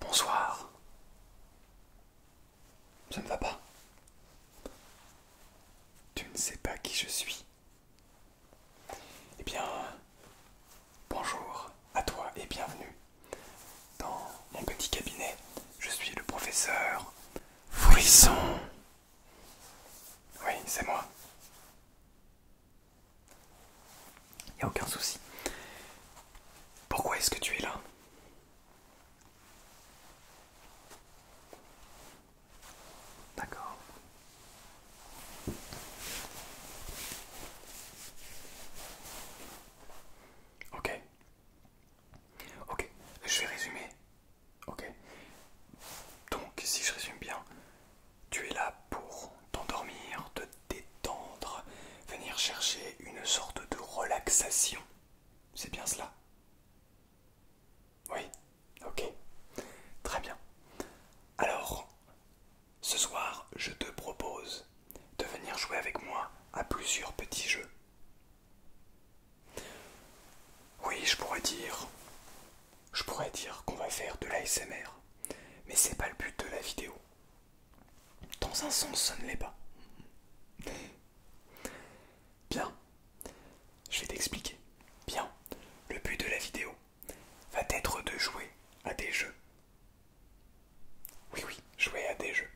Bonsoir. Ça ne va pas. Tu ne sais pas qui je suis. Eh bien, bonjour à toi et bienvenue dans mon petit cabinet. Je suis le professeur Fouisson Oui, c'est moi. Il a aucun souci. Pourquoi est-ce que tu es là D'accord. Ok. Ok, je vais résumer. Ok. Donc, si je résume bien, tu es là pour t'endormir, te détendre, venir chercher une sorte de relaxation. C'est bien cela Oui Ok. Très bien. Alors, ce soir, je te propose de venir jouer avec moi à plusieurs petits jeux. Oui, je pourrais dire... Je pourrais dire qu'on va faire de l'ASMR, mais c'est pas le but de la vidéo. Dans un sens, ça ne l'est pas. Bien, je vais t'expliquer. Bien, le but de la vidéo va être de jouer à des jeux. Oui, oui, jouer à des jeux.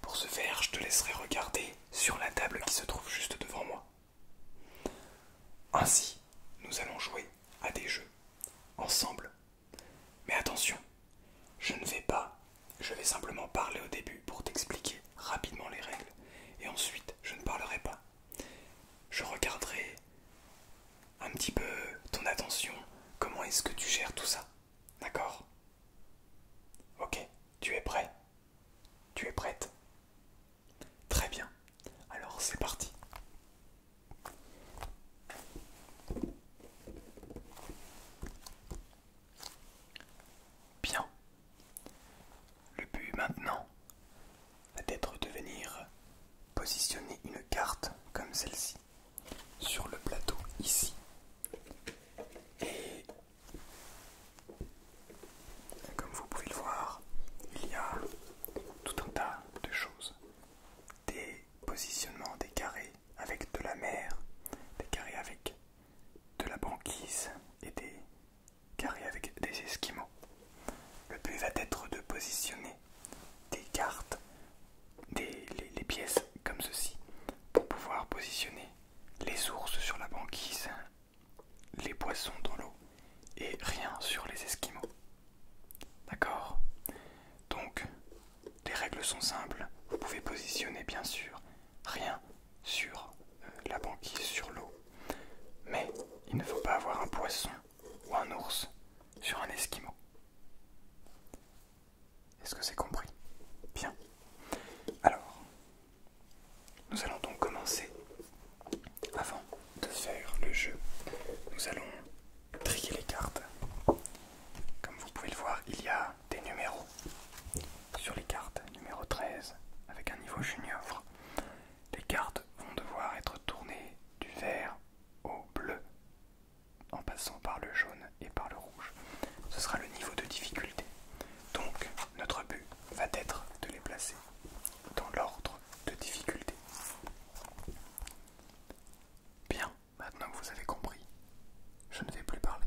Pour ce faire, je te laisserai regarder sur la table qui se trouve juste devant moi. Ainsi, nous allons jouer à des jeux, ensemble. Mais attention, je ne vais pas, je vais simplement parler au début pour t'expliquer rapidement les règles, et ensuite je ne parlerai pas. Je regarderai un petit peu ton attention, comment est-ce que tu gères tout ça, d'accord Ok, tu es prêt Tu es prête Très bien. Alors c'est parti. Bien. Le but maintenant va être de venir positionner une carte comme celle-ci sur le plateau ici. Et comme vous pouvez le voir, il y a tout un tas de choses des positionnements, des carrés avec de la mer, des carrés avec de la banquise et des carrés avec des esquimaux. Le but va être de positionner des cartes, des, pièces comme ceci, pour pouvoir positionner les ours sur la banquise, les poissons dans l'eau et rien sur les Esquimaux. D'accord Donc, les règles sont simples. Vous pouvez positionner, bien sûr, rien sur euh, la banquise, sur l'eau. Mais il ne faut pas avoir un poisson ou un ours sur un Esquimau. Est-ce que c'est compris Bien. Alors, nous allons donc commencer. Avant de faire le jeu, nous allons trier les cartes. Comme vous pouvez le voir, il y a des numéros sur les cartes. Numéro 13 avec un niveau junior. Les cartes vont devoir être tournées du vert au bleu en passant par le jaune et par le rouge. Ce sera le niveau de difficulté. Donc notre but va être de les placer dans l'ordre de difficulté. Bien, maintenant que vous avez compris, je ne vais plus parler.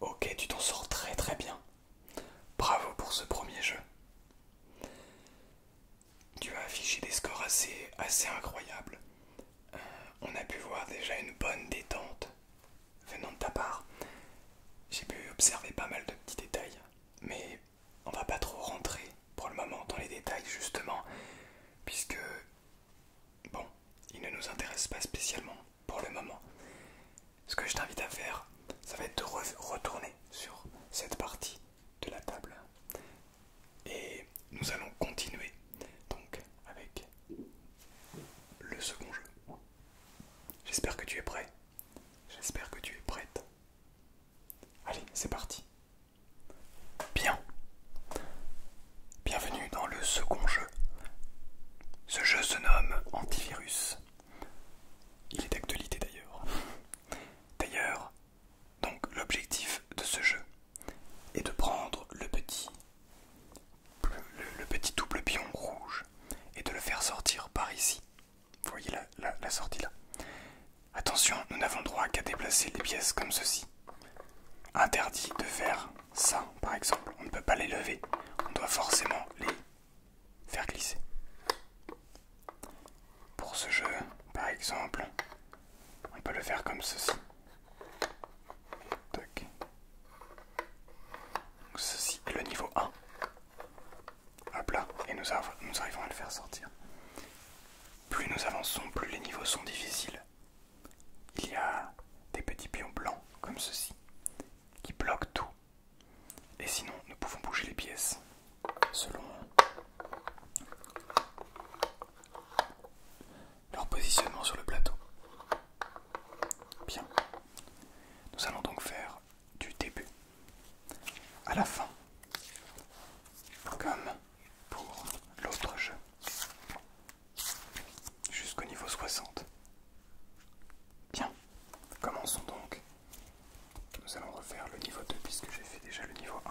Ok, tu t'en sors très très bien. Bravo pour ce premier jeu. Tu as affiché des scores assez, assez incroyables. Euh, on a pu voir déjà une bonne détente venant de ta part. J'ai pu observer pas mal de petits détails, mais on va pas trop rentrer pour le moment dans les détails justement, puisque bon, il ne nous intéresse pas spécialement pour le moment. Ce que je t'invite à faire, ça va être de retourner sur cette partie de la table. Et nous allons continuer donc avec le second jeu. J'espère que tu es prêt. J'espère que tu es prête. Allez, c'est parti. Bien. Bienvenue dans le second jeu. Ce jeu se nomme Antivirus. Il est d'actualité d'ailleurs. D'ailleurs, donc l'objectif de ce jeu est de prendre le petit le, petit double pion rouge et de le faire sortir par ici. Vous voyez la, la sortie là. Attention, nous n'avons droit qu'à déplacer les pièces comme ceci. Interdit de faire ça, par exemple. On ne peut pas les lever. On doit forcément les faire glisser. Pour ce jeu, par exemple, on peut le faire comme ceci. ceci le niveau 1. Hop là, et nous arrivons à le faire sortir. Plus nous avançons, plus les niveaux sont difficiles. Il y a des petits pions blancs comme ceci qui bloquent tout. Et sinon, nous pouvons bouger les pièces selon leur positionnement sur le plateau. Bien. Nous allons donc faire du début à la fin. Comme pour l'autre jeu. Jusqu'au niveau 60. Bien, commençons donc. Nous allons refaire le niveau 2 puisque j'ai fait déjà le niveau 1.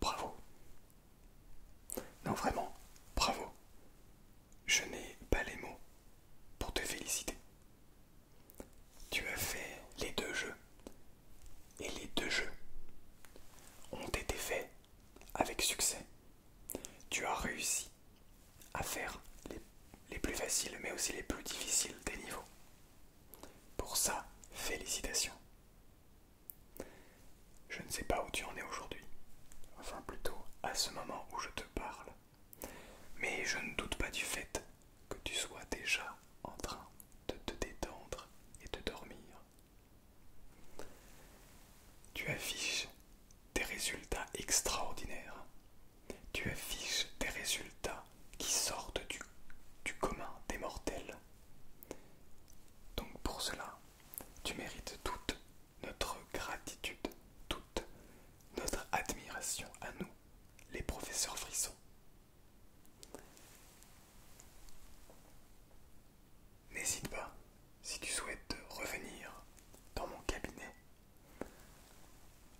Bravo. Non vraiment, bravo. Je n'ai pas les mots pour te féliciter. Tu as fait les deux jeux. Et les deux jeux ont été faits avec succès. Tu as réussi à faire les, plus faciles mais aussi les plus difficiles des niveaux. Pour ça, félicitations. Je ne sais pas où tu en es aujourd'hui, enfin plutôt à ce moment où je te parle, mais je ne doute pas du fait que tu sois déjà en train de te détendre et de dormir. Tu affiches des résultats extraordinaires. Tu affiches des résultats qui sortent du, du commun des mortels. Donc pour cela, tu mérites toute notre gratitude, toute notre admiration à nous, les professeurs Frissons. N'hésite pas, si tu souhaites revenir dans mon cabinet,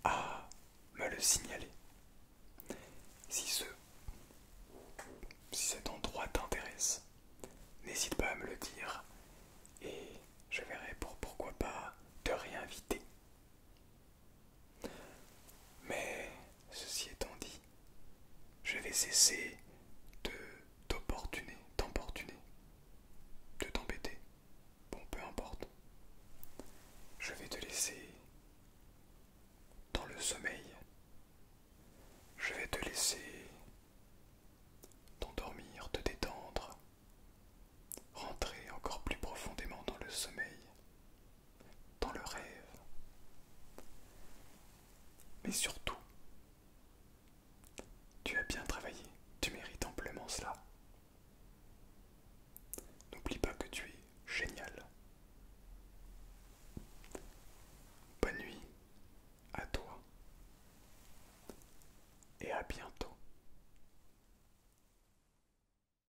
à me le signaler. Si, ce, cet endroit t'intéresse, n'hésite pas à me le dire et je verrai pour pourquoi pas te réinviter. Mais ceci étant dit, je vais cesser de t'opportuner, t'emportuner, de t'embêter. Bon, peu importe. Je vais te laisser dans le sommeil. Je vais te laisser t'endormir, te détendre, rentrer encore plus profondément dans le sommeil dans le rêve. Mais surtout, tu as bien travaillé, tu mérites amplement cela. N'oublie pas que tu es génial. Bonne nuit à toi et à bientôt.